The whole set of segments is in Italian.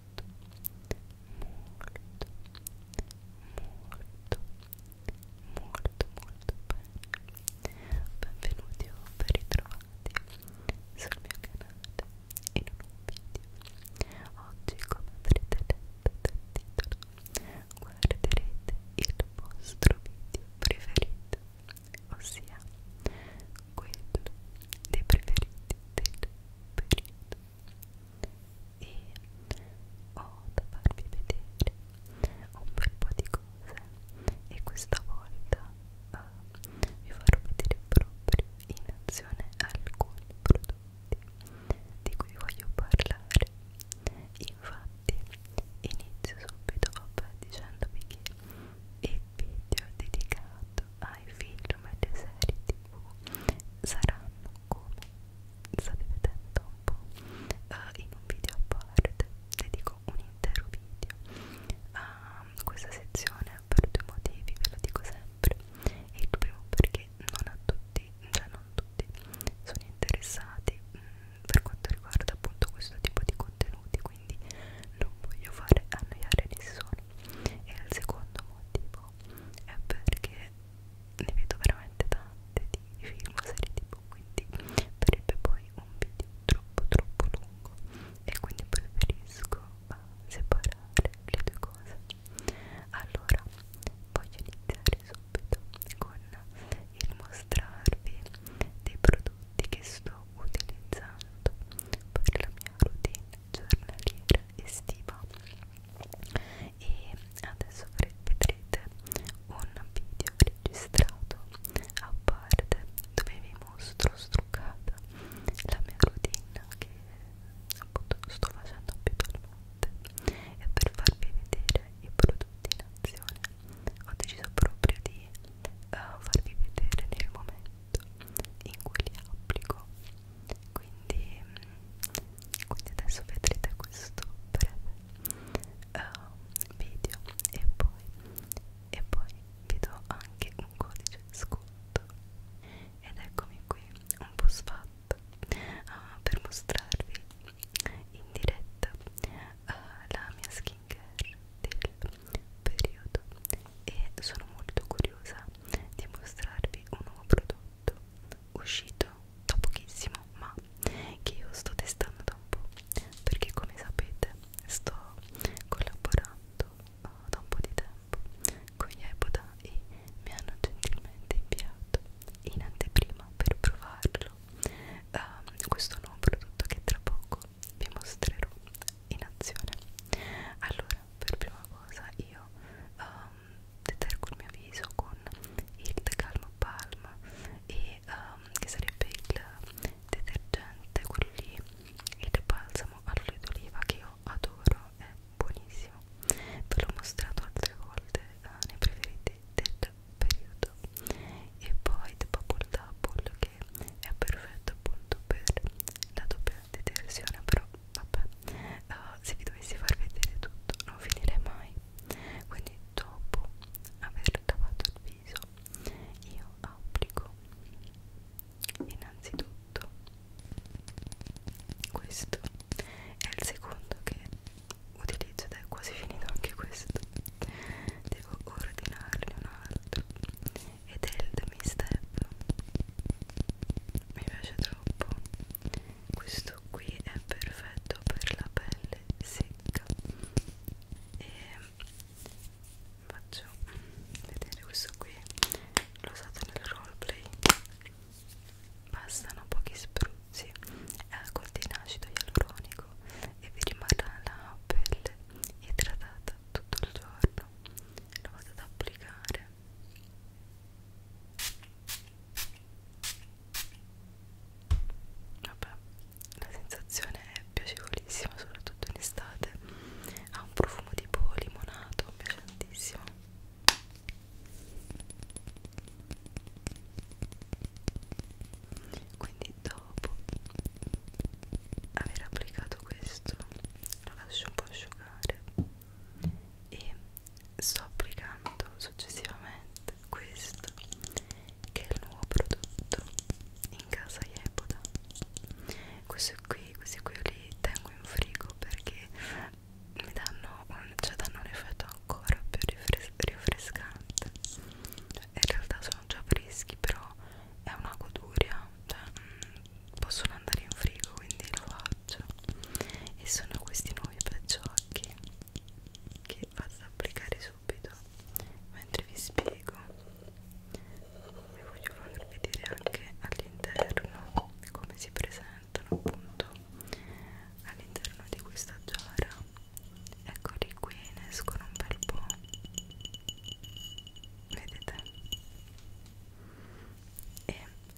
molto bene benvenuti o ben ritrovati sul mio canale in un nuovo video oggi come avrete letto dal titolo guarderete il vostro video preferito ossia quello dei preferiti del periodo e ho da farvi vedere un bel po' di cose e questa volta uh, vi farò vedere proprio in azione alcuni prodotti di cui voglio parlare infatti inizio subito vabbè dicendovi che il video dedicato ai film e alle serie tv saranno come state vedendo un po' uh, in un video a parte dedico un intero video a ehm, uh, questa sezione per due motivi ve lo dico sempre il primo perché non a tutti cioè non tutti sono interessati mh, mm, per quanto riguarda appunto questo tipo di contenuti quindi non voglio fare annoiare nessuno e il secondo motivo è perché ne vedo veramente tante di film serie tv quindi farebbe poi un video troppo troppo lungo e quindi preferisco ah, separare le due cose allora voglio iniziare subito con il mostrarvi dei prodotti che sto utilizzando per la mia routine giornaliera estiva e adesso vedrete un video registrato a parte dove vi mostro struccata la mia routine che appunto sto facendo abitualmente e per farvi vedere i prodotti in azione ho deciso proprio di uh, farvi vedere nel momento pacchetto in cui li applico quindi, quindi adesso vedrete questo breve uh, video e poi, e poi vi do anche un codice sconto ed eccomi qui un po' sfatta uh, eh, per mostrarvi in diretta uh, la mia skincare del periodo e sono molto curiosa di mostrarvi un nuovo prodotto uscito da pochissimo ma che io sto testando da un po' perché come sapete sto collaborando oh, da un po' di tempo con Yeboda e mi hanno gentilmente inviato in anteprima per provarlo um, questo nuovo prodotto che tra poco vi mostrerò in azione allora per prima cosa io um, detergo il mio viso con il The Calm Palm e, um, che sarebbe il detergente quello lì il balsamo all'olio d'oliva che io adoro è buonissimo ve l'ho mostrato altre volte uh, nei preferiti del periodo e poi The Bubble Double che è perfetto appunto per la doppia detersione però vabbè uh, se vi dovessi far vedere tutto non finirei mai quindi dopo aver lavato il viso io applico innanzitutto questo è il secondo che utilizzo ed è quasi finito anche questo devo ordinarne un altro e del demi-step mi piace troppo questo qui è perfetto per la pelle secca e faccio vedere questo qui l'ho usato nel roleplay bastano pochi spruzzi è alcol di acido ialuronico e vi rimarrà la pelle idratata tutto il giorno lo vado ad applicare vabbè la sensazione è piacevolissima soprattutto in estate ha un profumo tipo limonato mi piace tantissimo quindi dopo aver applicato questo lo lascio un po' asciugare asciugare e sto applicando successivamente questo che è il nuovo prodotto in casa Yepoda questi qui, questi qui li tengo in frigo perché mi danno un, cioè danno un effetto ancora più rifres rinfrescante in realtà sono già freschi però è una goduria cioè, mm, possono andare in frigo quindi lo faccio e sono questi nuovi pacciocchi che vado ad applicare subito mentre vi spiego vi voglio far vedere anche all'interno come si presentano appunto all'interno di questa giara eccoli qui ne escono un bel po' vedete e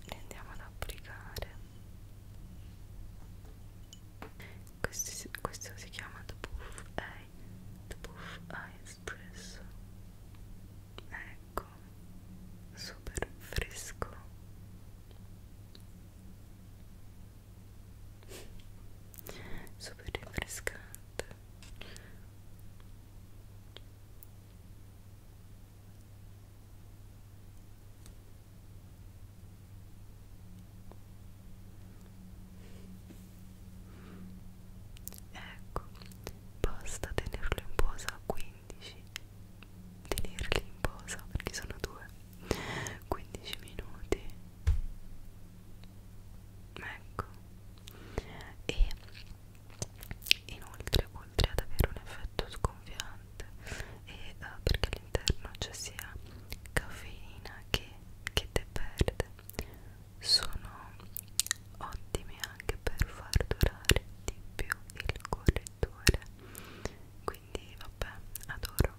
li andiamo ad applicare questo, questo si chiama The Puff Eye, The Puff Eye Espresso ecco super fresco super rinfrescante Ecco, basta tenerlo in posa 15, tenerli in posa perché sono due, 15 minuti. Ecco, e Inoltre, oltre ad avere un effetto sgonfiante e uh, perché all'interno c'è sia caffeina che, che te perde, sono ottimi anche per far durare di più il correttore. Quindi, vabbè, adoro.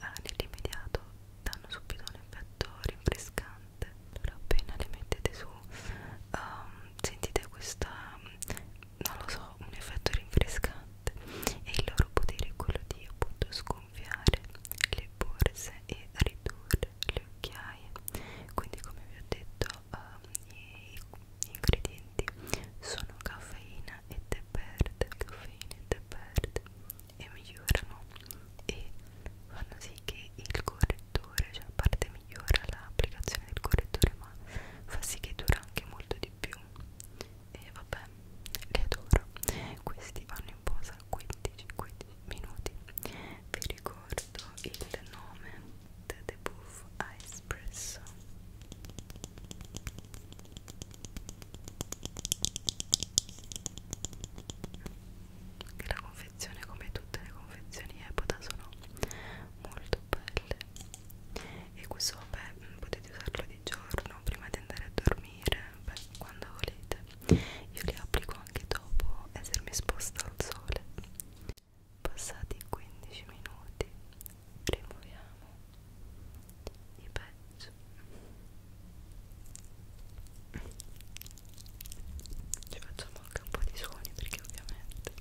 Uh, Nell'immediato danno subito un effetto rinfrescante piante allora appena le mettete su um, sentite questa non lo so un effetto rinfrescante e il loro potere è quello di appunto sgonfiare le borse e ridurre le occhiaie quindi come vi ho detto um, i, gli ingredienti sono caffeina e tè verde caffeina e tè verde e migliorano e fanno sì che il correttore cioè la parte migliora l'applicazione del correttore ma fa sì che dura anche molto di più e vabbè li adoro questi vanno in posa 15, 15 minuti vi ricordo il nome The Debuff Espresso che la confezione confezione come tutte le confezioni Epoda sono molto belle e questo vabbè mm, potete usarlo di giorno prima di andare a dormire beh, quando volete io li applico anche dopo essermi esposta al sole passati 15 minuti rimuoviamo i pezzi ci facciamo anche un po' di suoni perché ovviamente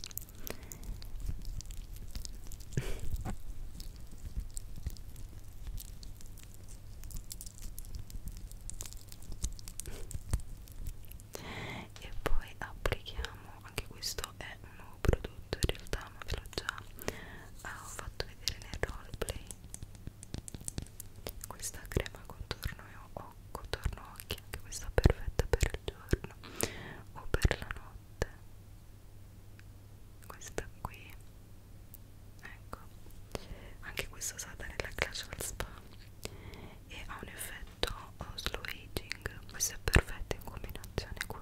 e poi applichiamo anche questo è un nuovo prodotto in realtà ma ve l'ho già ah, ho fatto vedere nel roleplay questa crema contorno e ho occo, torno occhi, anche questa perfetta per il giorno o per la notte questa qui ecco anche questa usata nella Clash al Spa e ha un effetto slow aging questo è perfetto in combinazione con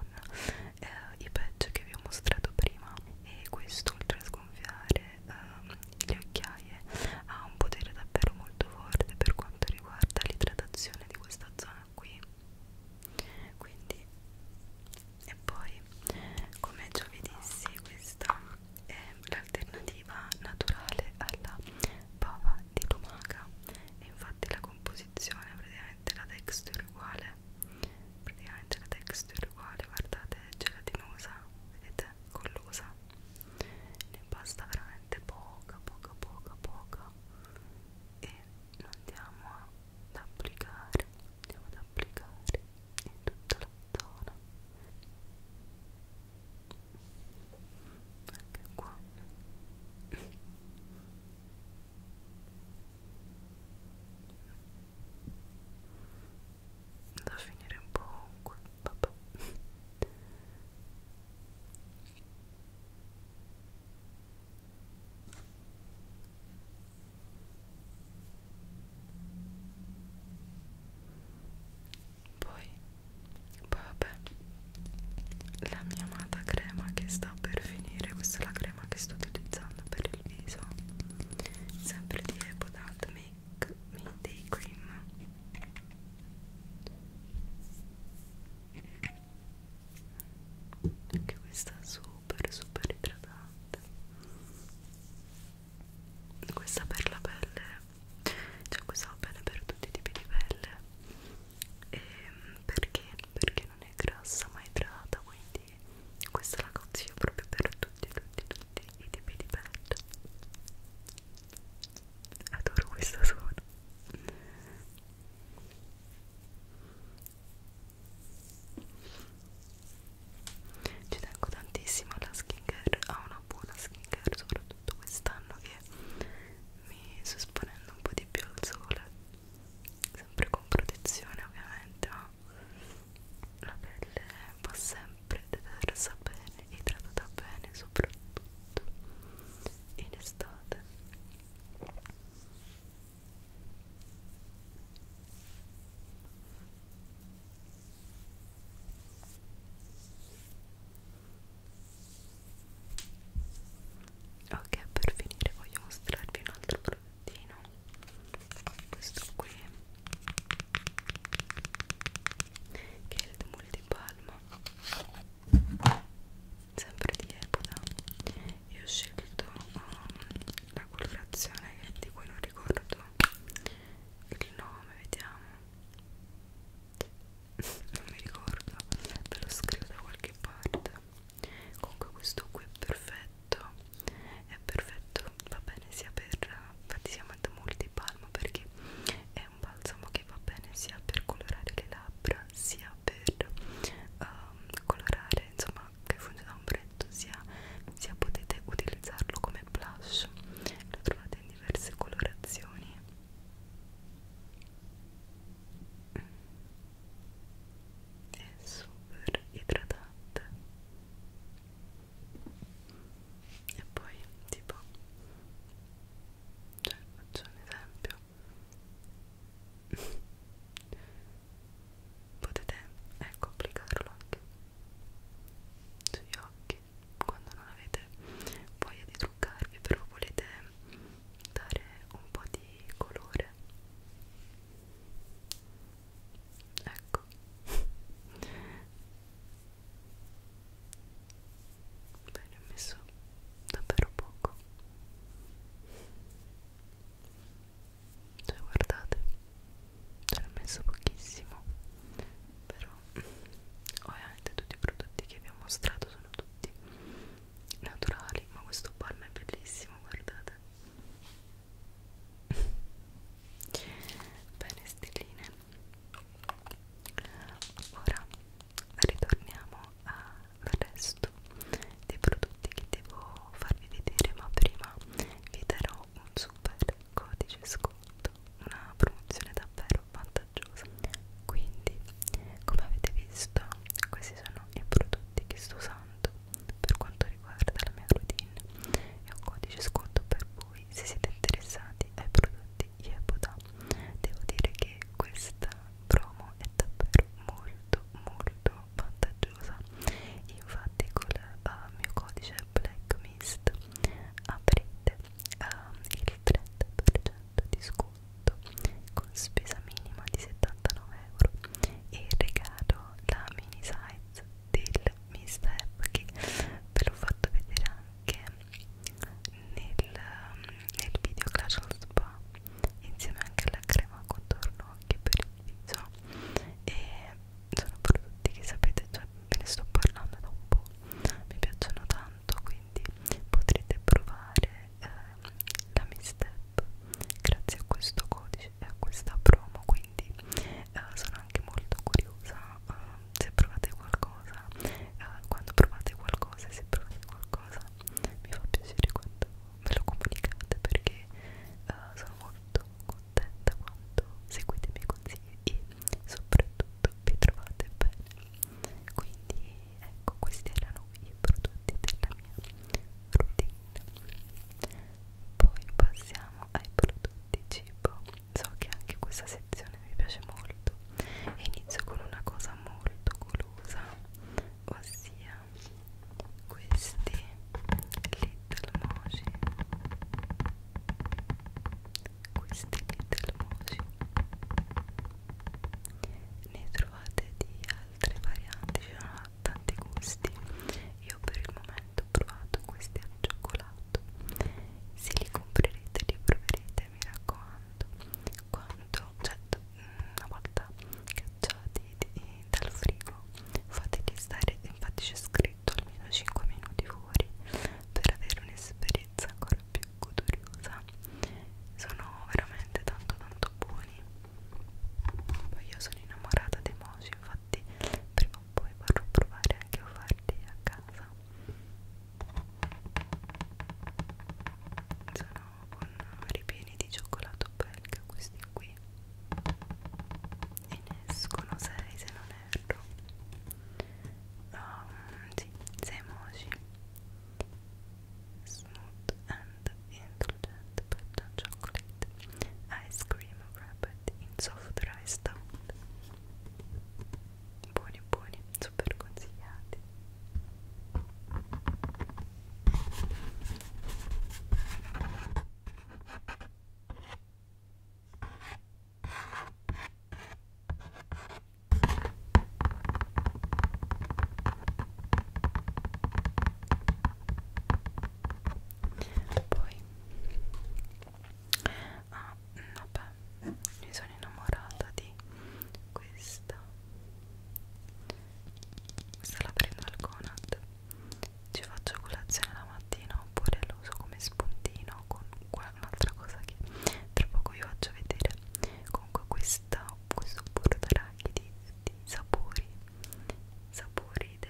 eh, i patch che vi ho mostrato prima e questo oltre a sgonfiare eh, le occhiaie ha un potere davvero molto forte per quanto riguarda l'idratazione di questa zona qui quindi e poi come già vi dissi questa è l'alternativa naturale alla bava di lumaca e infatti la composizione praticamente la texture uguale praticamente la texture uguale guardate gelatinosa vedete collosa ne basta veramente poca poca poca poca e lo andiamo ad applicare andiamo ad applicare in tutta la zona anche qua da finire un po' ovunque vabbè poi, poi vabbè, la mia amata crema che sta per finire, questa è la crema che sto utilizzando per il viso, sempre di Ebodant Make Me Day Cream anche questa è super super idratante questa per la pelle cioè questa va bene per tutti i tipi di pelle e ehm, perché? perché non è grassa ma idrata quindi questa la consiglio proprio per tutti tutti tutti i tipi di pelle adoro questo suono ci tengo tantissimo alla skincare a una buona skincare soprattutto quest'anno che mi sto esponendo un po' di più al sole sempre con protezione ovviamente ma la pelle va sempre detersa bene e trattata bene soprattutto in estate ok per finire voglio mostrarvi un altro prodottino questo qui che è il demolitore di palma sempre di Epoda e ho scelto um, la colorazione di cui non ricordo il nome vediamo non mi ricordo ve lo scrivo da qualche parte comunque questo qui è perfetto è perfetto va bene sia per, per diciamo, multipalma perché è è un balsamo che va bene sia per colorare le labbra sia per um, colorare insomma che funge da ombretto sia, sia potete utilizzarlo come blush lo trovate in diverse colorazioni è super idratante e poi tipo cioè faccio un esempio potete ecco applicarlo anche sugli occhi quando non avete voglia di truccarvi però volete dare un po' di colore ecco Bene, ho messo davvero poco. Cioè, guardate, ce l'ho messo pochissimo. Però, ovviamente, tutti i prodotti che vi ho mostrato sono tutti naturali. Ma questo palmo è bellissimo, guardate. Bene, stelline, ora ritorniamo al resto dei prodotti che devo farvi vedere ma prima vi darò un super codice sconto una promozione davvero vantaggiosa quindi come avete visto questi sono i prodotti che sto usando per quanto riguarda la mia routine e un codice sconto per voi voi se siete interessati ai prodotti Yebuda devo dire che questa promo è davvero molto molto vantaggiosa infatti col uh, mio codice Black Mist avrete uh, il 30% di sconto con spesa minima di 79 euro e regalo la mini size del Mist App che ve l'ho fatto vedere anche nel, nel video Clash al Spa insieme anche alla crema contorno occhio per il viso e sono prodotti che sapete cioè ve ne sto parlando da un po' mi piacciono tanto quindi potrete provare eh, la Mi Step grazie a questo codice e a questa promo quindi eh, sono anche molto curiosa eh, se provate qualcosa uh, quando provate qualcosa se provate qualcosa mi fa piacere quando me lo comunicate perché uh, sono molto contenta quando seguite i miei consigli e soprattutto vi trovate bene quindi ecco questi erano i prodotti della mia routine poi passiamo ai prodotti cibo so che anche questa sezione mi piace molto e inizio con una cosa molto golosa ossia questi little mochi questi little mochi ne trovate di altre varianti ci sono tanti gusti io per il momento ho provato questi al cioccolato se li comprerete li proverete mi raccomando tanto quanto cioè, mm, una volta cacciati di, dal frigo fateli stare infatti c'è scritto almeno 5 minuti fuori per avere un'esperienza ancora più goduriosa sono veramente tanto tanto buoni poi io sono innamorata dei mochi infatti prima o poi vorrò provare anche a farli a casa sono con ripieni di cioccolato belga questi qui e ne escono 6 se non erro um, sì, 6 emoji smooth and indulgent pattern chocolate ice cream wrapped in soft rice stout buoni buoni super consigliati poi ah vabbè mi sono innamorata di questa questa la prendo al Conad ci faccio colazione la mattina oppure la uso come spuntino con un'altra cosa che tra poco vi faccio vedere comunque questa questo burraracchi di, di sapori sapori de,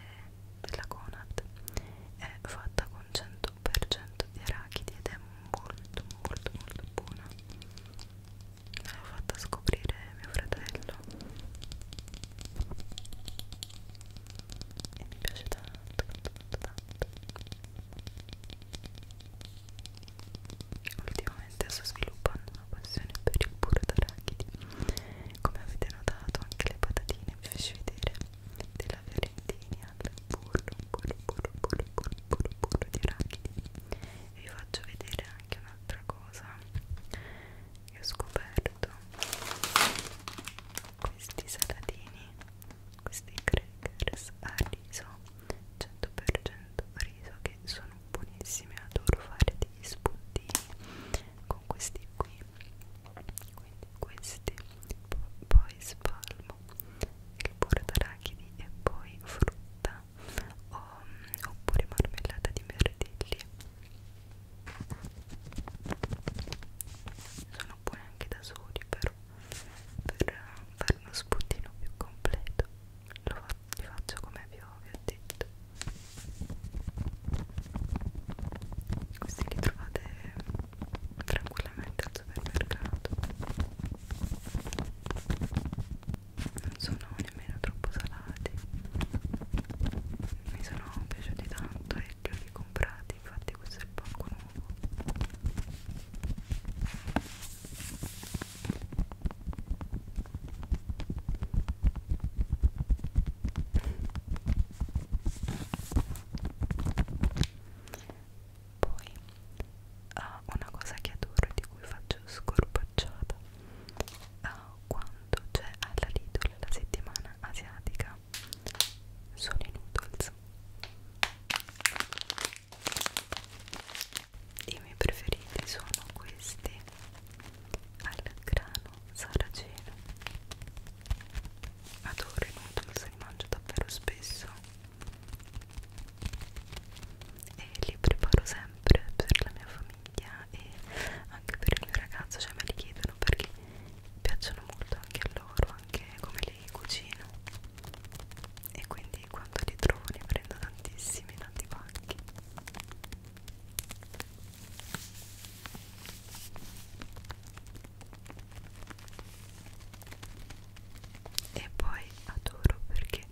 della Conad è fatta con 100 di arachidi ed è molto molto molto buona me l'ha fatta scoprire mio fratello e mi piace tanto tanto tanto ultimamente sto sviluppando una passione per il burro d'arachidi come avete notato anche le patatine vi faccio vedere della fiorentina al burro burro burro burro burro burro burro di arachidi e vi faccio vedere anche un'altra cosa che ho scoperto questi salatini questi crackers a riso 100% riso che sono buonissimi adoro fare degli spuntini con questi qui quindi questi poi spalmo tipo il burro d'arachidi e poi frutta o, oppure marmellata di mirtilli sono buone anche da soli però per fare uno spuntino più completo lo fa, li faccio come vi ho, vi ho detto questi li trovate tranquillamente al supermercato non sono nemmeno troppo salati mi sono piaciuti tanto e li ho ricomprati infatti questo è il pacco nuovo poi uh, una cosa che adoro di cui faccio scorpacciata uh, quando c'è alla Lidl la settimana asiatica sono i noodles i miei preferiti sono questi al grano saraceno adoro i noodles, li mangio davvero spesso e li preparo sempre per la mia famiglia e anche per il mio ragazzo, cioè me li chiedono perché piacciono molto anche a loro, anche come li cucino e quindi quando li trovo ne prendo tantissimi, tanti pacchi e poi adoro perché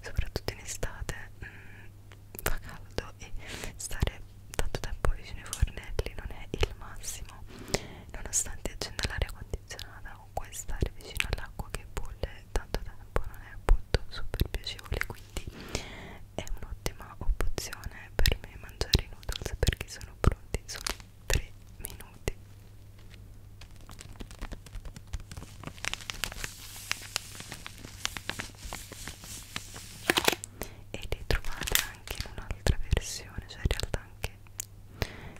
soprattutto in estate mh, mm, fa caldo e stare tanto tempo vicino ai fornelli non è il massimo nonostante accenda l'aria condizionata o puoi stare vicino all'acqua che bolle tanto tempo non è appunto super piacevole quindi è un'ottima opzione per me mangiare i noodles perché sono pronti sono 3 minuti e li trovate anche in un'altra versione cioè in realtà anche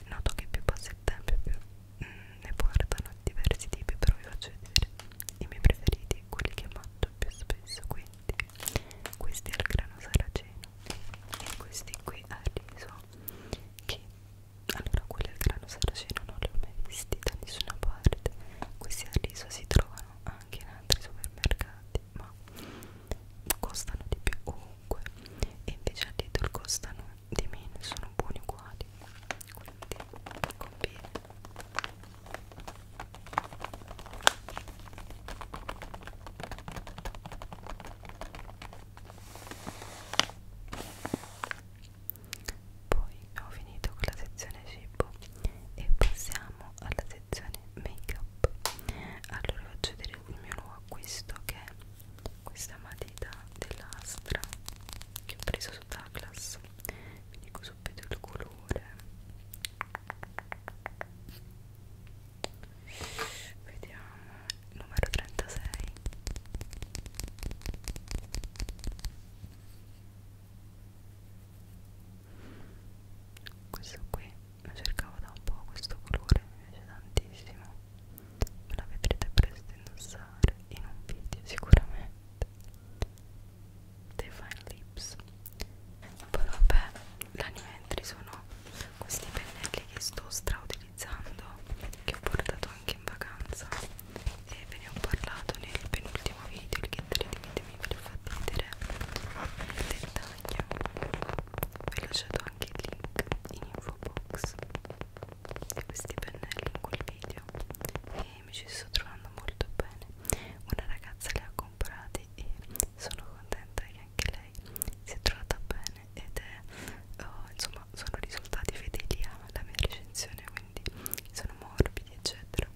noto che più passa il tempo più mh, mm, ne portano diversi tipi però vi faccio vedere i miei preferiti quelli che mangio più spesso quindi questi al grano saraceno e questi qui al riso che allora, quelli al grano saraceno non li ho mai visti da nessuna parte. Questi al riso si trovano anche in altri supermercati, ma costano di più ovunque. E invece al Lidl costano di meno, sono buoni uguali. Quindi conviene poi ho finito con la sezione cibo e passiamo alla sezione make up allora faccio vedere il mio nuovo acquisto che è questa matita dell'astra che ho preso su Douglas vi dico subito il colore vediamo numero 36 questo qui lo cercavo da un po' questo colore mi piace tantissimo me la vedrete presto indossare in un video sicuramente Define Lips poi vabbè l'anime entry sono questi pennelli che sto straudicando organizzando che ho portato anche in vacanza e ve ne ho parlato nel penultimo video il che ditemi ve l'ho fatto vedere nel dettaglio vi ho lasciato anche il link in info box di questi pennelli in quel video e mi ci sto trovando molto bene una ragazza li ha comprati e sono contenta che anche lei si è trovata bene ed è oh, insomma sono risultati fedeli alla mia recensione quindi sono morbidi eccetera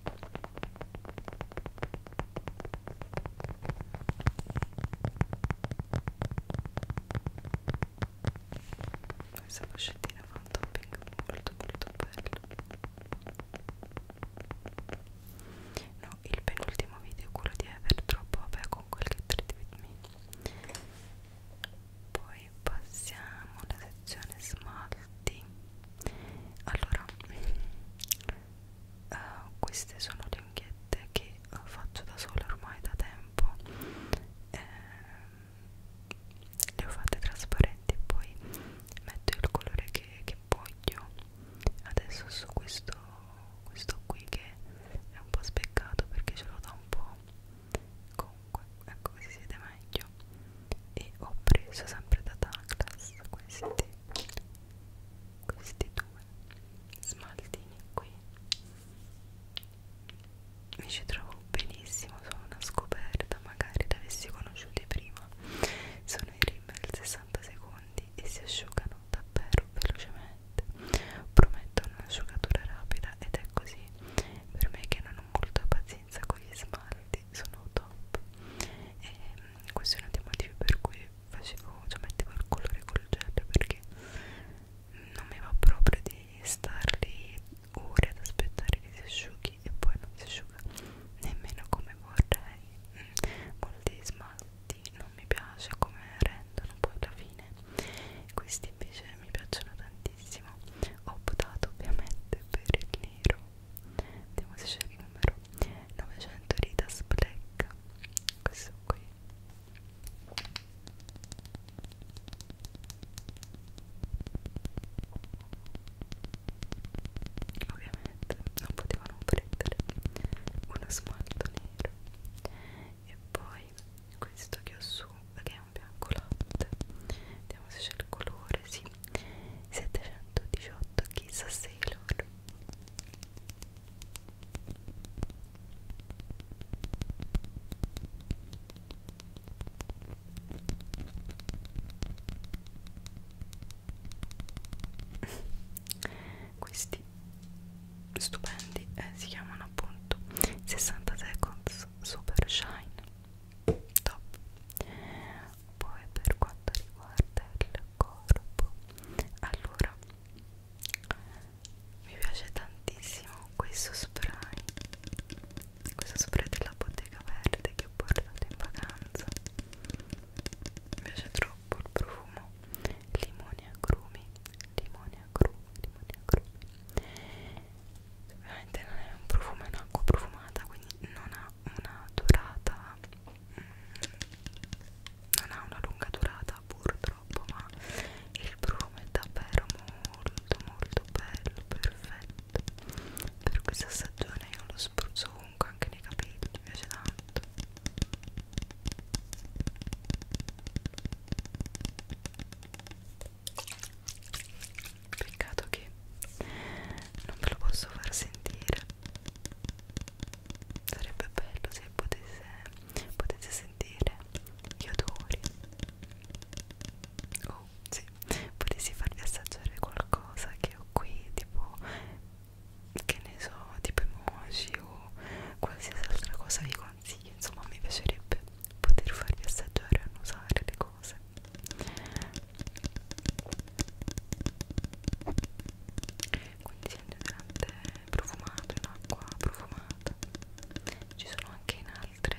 questa boccettina fa un topping molto molto bello no il penultimo video quello di Ever troppo vabbè con quel che treat with me poi passiamo alla sezione smalti allora uh, queste sono le unghiette che uh, faccio da sola ormai da tempo eh, le ho fatte trasparenti e poi metto il colore che, che voglio adesso su questo questo qui che è un po' speccato perché ce lo dà un po' comunque ecco si siede meglio e ho preso sempre da Douglas questi questi due smaltini qui mi ci trovo benissimo sono una scoperta magari li avessi conosciuti prima sono i rimel 60 secondi e si asciugano davvero velocemente fette promettono un'asciugatura rapida ed è così per me che non ho molta pazienza con gli smalti sono top e mm, questo è uno dei motivi per cui facevo cioè mettevo il colore col gel perché non mi va proprio di starli ore ad aspettare che si asciughi e poi non si asciuga nemmeno come vorrei mm, molti smalti non mi piace come rendono poi alla fine questi che invece mi piacciono tantissimo ho votato ovviamente per il nero vediamo se c'è il numero 900 Ritas Black questo qui ovviamente non poteva non prendere uno smalto nero e poi questo che ho su che è un bianco latte vediamo se c'è il colore sì 718 chissà se loro questi stupendi e eh, si chiamano appunto 60 Seconds Super Shine top poi per quanto riguarda il corpo allora mi piace tantissimo questo spray questo spray della bottega verde che ho portato in vacanza mi piace troppo il profumo limoni agrumi limoni agrumi Ovviamente non è un profumo, è un'acqua profumata, quindi non ha una durata, mm, non ha una lunga durata purtroppo, ma il profumo è davvero molto molto bello, perfetto. Per questa stagione io lo spruzzo ovunque, anche nei capelli, mi piace tanto peccato che non ve lo posso far sentire sarebbe bello se potesse, potesse sentire gli odori o oh, se sì. potessi farvi assaggiare qualcosa che ho qui tipo che ne so tipo emoji o qualsiasi altra cosa vi consiglio anzi insomma mi piacerebbe poter farvi assaggiare e annusare le cose quindi c'è un deodorante profumato in acqua profumata ci sono anche in altre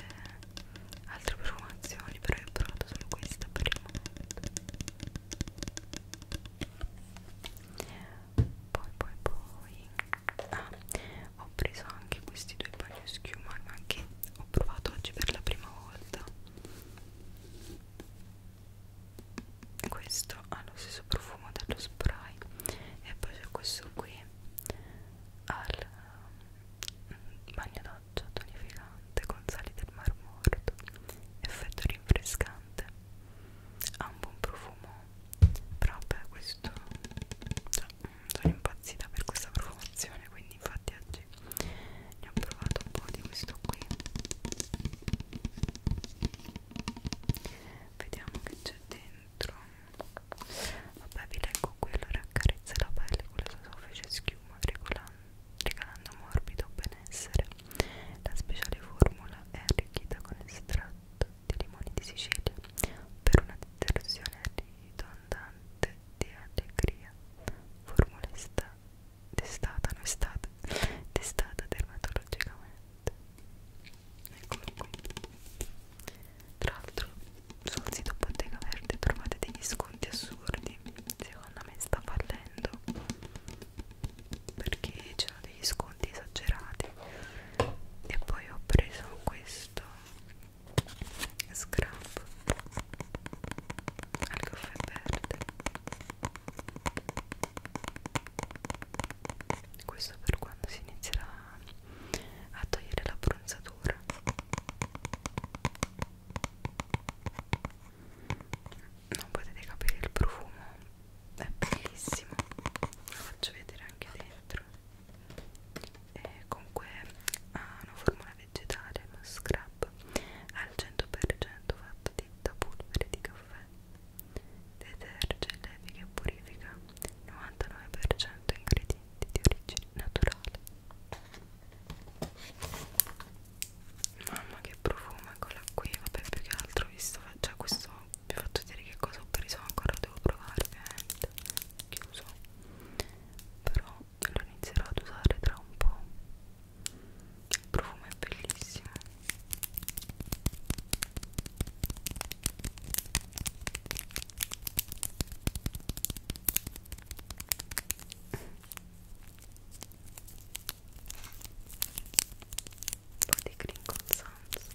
altre profumazioni però io ho provato solo questa per il momento poi poi poi ah, ho preso anche questi due bagno schiuma che ho provato oggi per la prima volta questo ha lo stesso profumo dello spray e poi c'è questo qui al mm, bagno doccia tonificante con sali del mar morto effetto rinfrescante ha un buon profumo però beh questo cioè, sono impazzita per questa profumazione quindi infatti oggi ne ho provato un po' di questo qui vediamo che c'è dentro vabbè vi leggo quello raccarezza la pelle con la sua soffice schiuma regalando morbido benessere la speciale formula è arricchita con estratto di limoni di Sicilia per una detersione ridondante di allegria. Formula testata, non estate, testata dermatologicamente. Eccolo qui. Tra l'altro sul sito Bottega Verde trovate degli sconti assurdi. Secondo me sta fallendo perché c'erano degli sconti esagerati. E poi ho preso questo scrub al caffè verde questo per quando si inizierà a togliere la bronzatura non potete capire il profumo è bellissimo lo faccio vedere anche dentro e comunque ha una formula vegetale, uno scrub al 100% fatto di da polvere di caffè deterge, leviga e purifica 99% ingredienti di origine naturale mamma che profumo eccola qui vabbè più che altro visto cioè questo vi ho fatto vedere che cosa ho preso ancora devo provare ovviamente chiuso però lo inizierò ad usare tra un po' il profumo è bellissimo un po' di crinkle sounds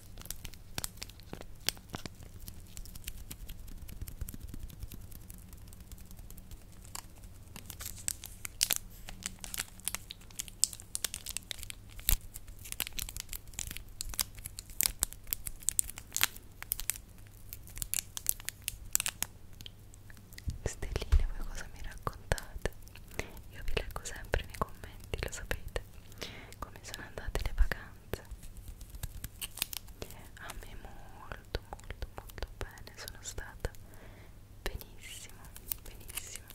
Stelline, voi cosa mi raccontate? Io vi leggo sempre nei commenti, lo sapete come sono andate le vacanze a me molto molto molto bene sono stata benissimo benissimo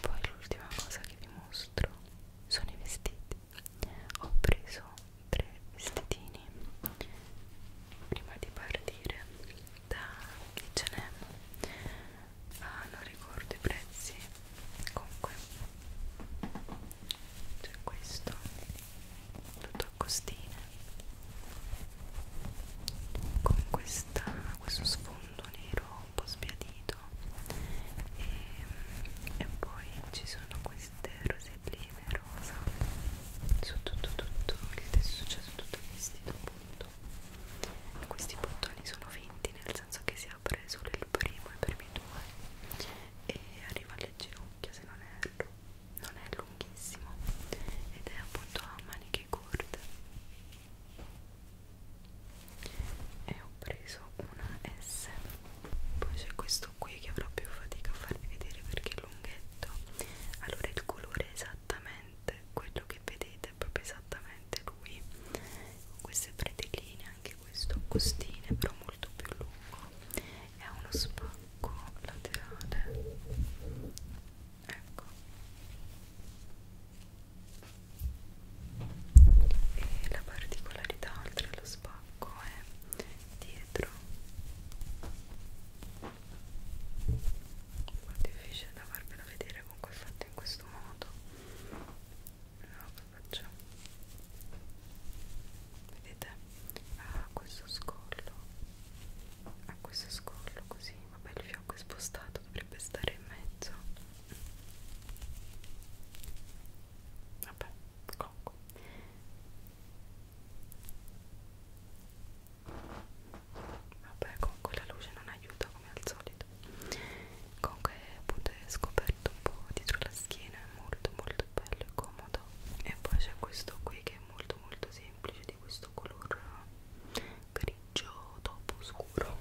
poi l'ultima cosa che vi mostro sono i vestiti vestiti ho preso tre vestitini prima di partire da H&M ah, non ricordo i prezzi comunque c'è questo tutto a costine con questa, questo sfondo nero un po' sbiadito e, e poi ci sono queste roselline rosa su tutto, tutto il tessuto, cioè su tutto il vestito appunto questi bottoni sono finti nel senso che si apre solo il primo e i primi due e arriva alle ginocchia se non erro non è lunghissimo ed è appunto a maniche corte e ho preso una S poi c'è questo qui che avrò più fatica a farvi vedere perché è lunghetto allora il colore è esattamente quello che vedete è proprio esattamente lui con queste pretelline anche questo costine però molto più lungo e ha uno spacco laterale ecco e la particolarità oltre allo spacco è dietro un po' difficile da farvela vedere comunque è fatto in questo modo vediamo che faccio vedete ha ah, questo scollo ha ah, questo scollo così vabbè il fiocco è spostato dovrebbe stare in mezzo vabbè comunque vabbè comunque la luce non aiuta come al solito comunque appunto è scoperto un po' dietro la schiena è molto molto bello e comodo e poi c'è questo qui che è molto molto semplice di questo color eh, grigio dopo scuro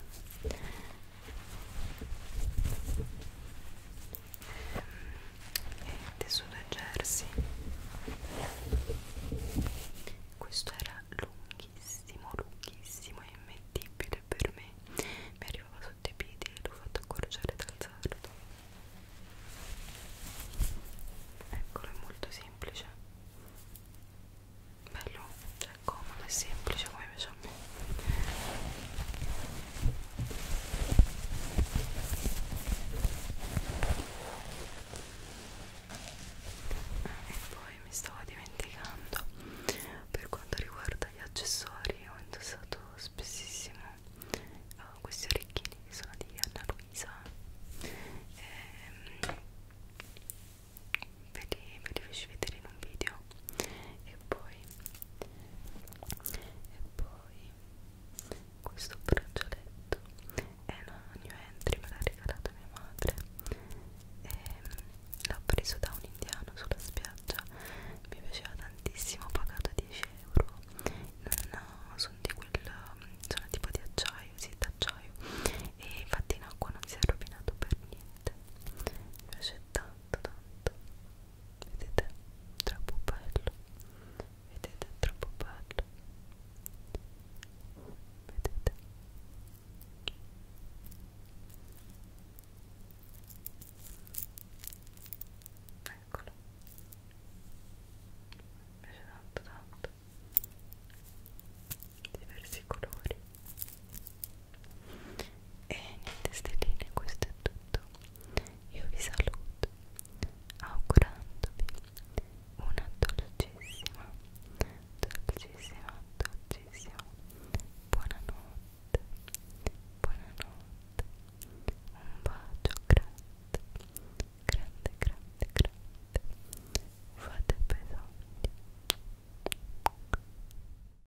e tessuto jersey questo era lunghissimo lunghissimo e immettibile per me mi arrivava sotto i piedi e l'ho fatto accorciare dal sarto eccolo è molto semplice bello, cioè è comodo e semplice come piace a me e poi mi stavo dimenticando per quanto riguarda gli accessori ho indossato spessissimo uh, questi orecchini che sono di Anna Luisa ehm, Ve li, ve li feci vedere in un video e poi e poi questo braccialetto è una new entry me l'ha regalato mia madre e mm, l'ho preso da un indiano sulla spiaggia mi piaceva tantissimo ho pagato 10 euro non ho, sono di quel mm, sono tipo di acciaio sì d'acciaio e infatti in acqua non si è rovinato per niente mi piace tanto tanto vedete troppo bello vedete troppo bello vedete eccolo mi piace tanto tanto diversi colori e niente stelline questo è tutto io vi saluto augurandovi una dolcissima dolcissima dolcissima buonanotte buonanotte un bacio grande grande grande grande fate bisogno